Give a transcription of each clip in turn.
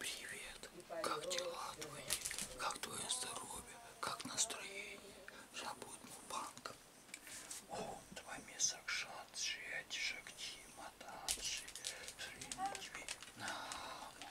Привет, как дела твои, как твое здоровье, как настроение? Забудь мупанка. О, два места шансы, шакти, матанши, шринитви, нама.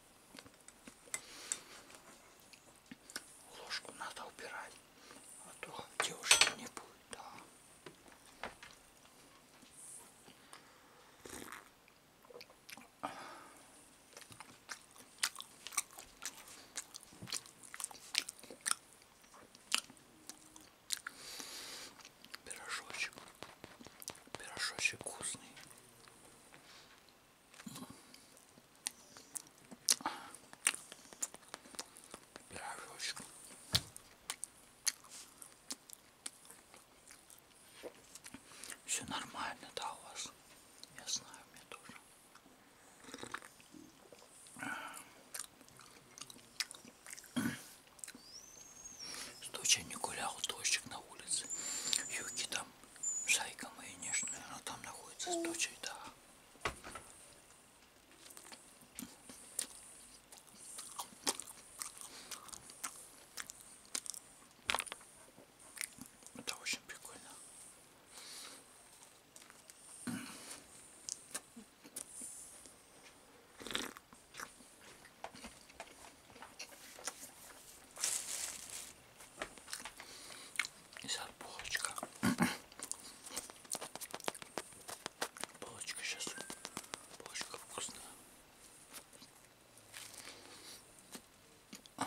Ложку надо убирать, а то девушки не будет. Да пирожочек пирожочек вкусный пирожочек все нормально да у вас я знаю мне тоже Случай не гулял, дождик на улице. Юки там, шайка моя нежная, она там находится с дочей, да. Это очень прикольно. И сейчас полочка. Полочка сейчас. Полочка вкусная. А,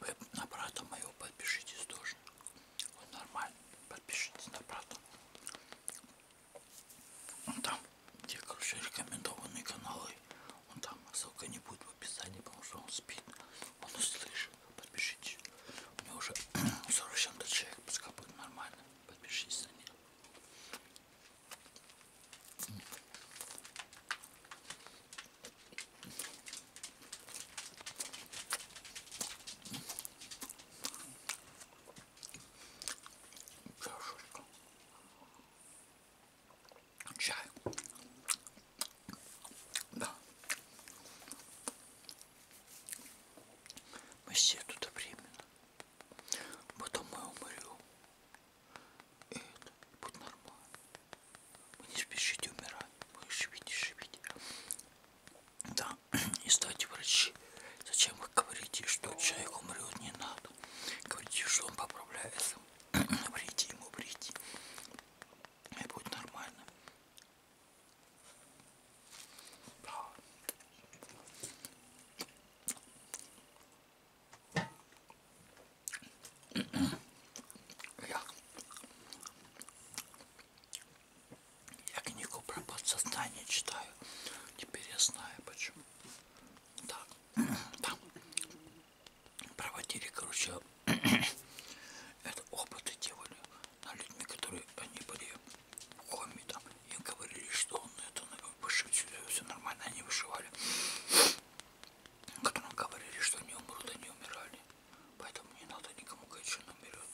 Вы на брата моего подпишитесь тоже. Он нормальный подпишитесь на правду. Вон там, где, короче, рекомендованные каналы, он там ссылка не будет в описании, потому что он спит, он услышит. Подпишитесь. У меня уже 40 чем-то человек, пускай будет нормально. Подпишитесь на них. Чашечка. Чай. Да. Мы все тут временно. Потом мы умрем. И это будет нормально. Вы не спешите умирать. Вы живите, живите. Да, не стать врачи. Зачем вы говорите, что человек умрет, не надо. Говорите, что он поправляется. Врите ему, врите. И будет нормально. Да. Я я книгу про подсознание читаю. Теперь я знаю почему. Так, там проводили, короче, это опыты делали на людьми, которые они были в коме там. Им говорили, что он это ну, выживет, все нормально, они выживали. Которым говорили, что они умрут, они умирали. Поэтому не надо никому говорить, что он умрет.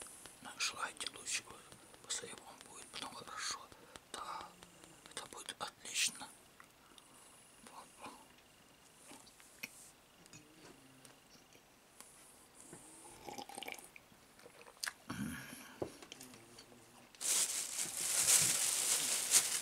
Желайте лучшего. После вам будет потом хорошо. Да, это будет отлично. Вот.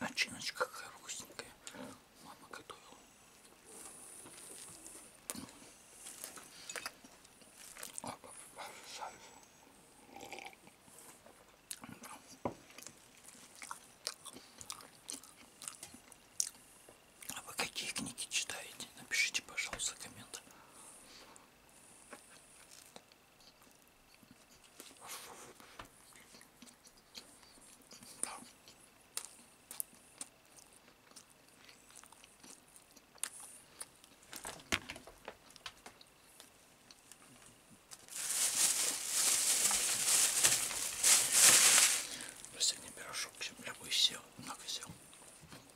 Начиночка какая вкусненькая. Мама готовила. А вы какие книги читаете? Напишите, пожалуйста, коммент. Да. Последний пирожок, чем я бы сел, много сел.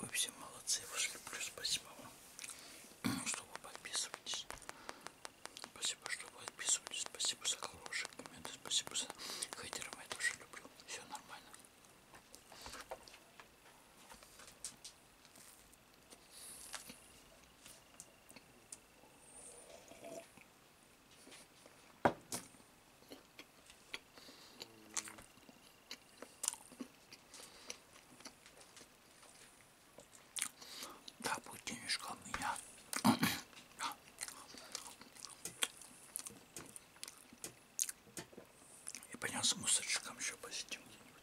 Вы все молодцы, я вас люблю, спасибо вам, что вы подписываетесь. Спасибо, что вы подписываетесь, спасибо за хорошие комменты, спасибо за хейтеров, я тоже люблю, все нормально. Да, будет денежка у меня. И понятно, с мусорчиком еще посетим где-нибудь.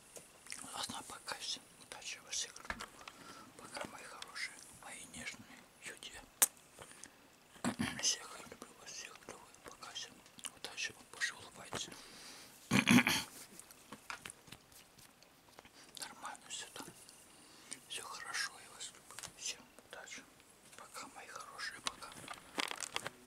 Она пока все. Удачи вас всех люблю. Пока, мои хорошие, мои нежные люди. Всех люблю вас, всех люблю. Пока всем. Удачи вам, больше улыбайтесь. Нормально все там. Все хорошо, я вас люблю. Всем удачи. Пока, мои хорошие, пока.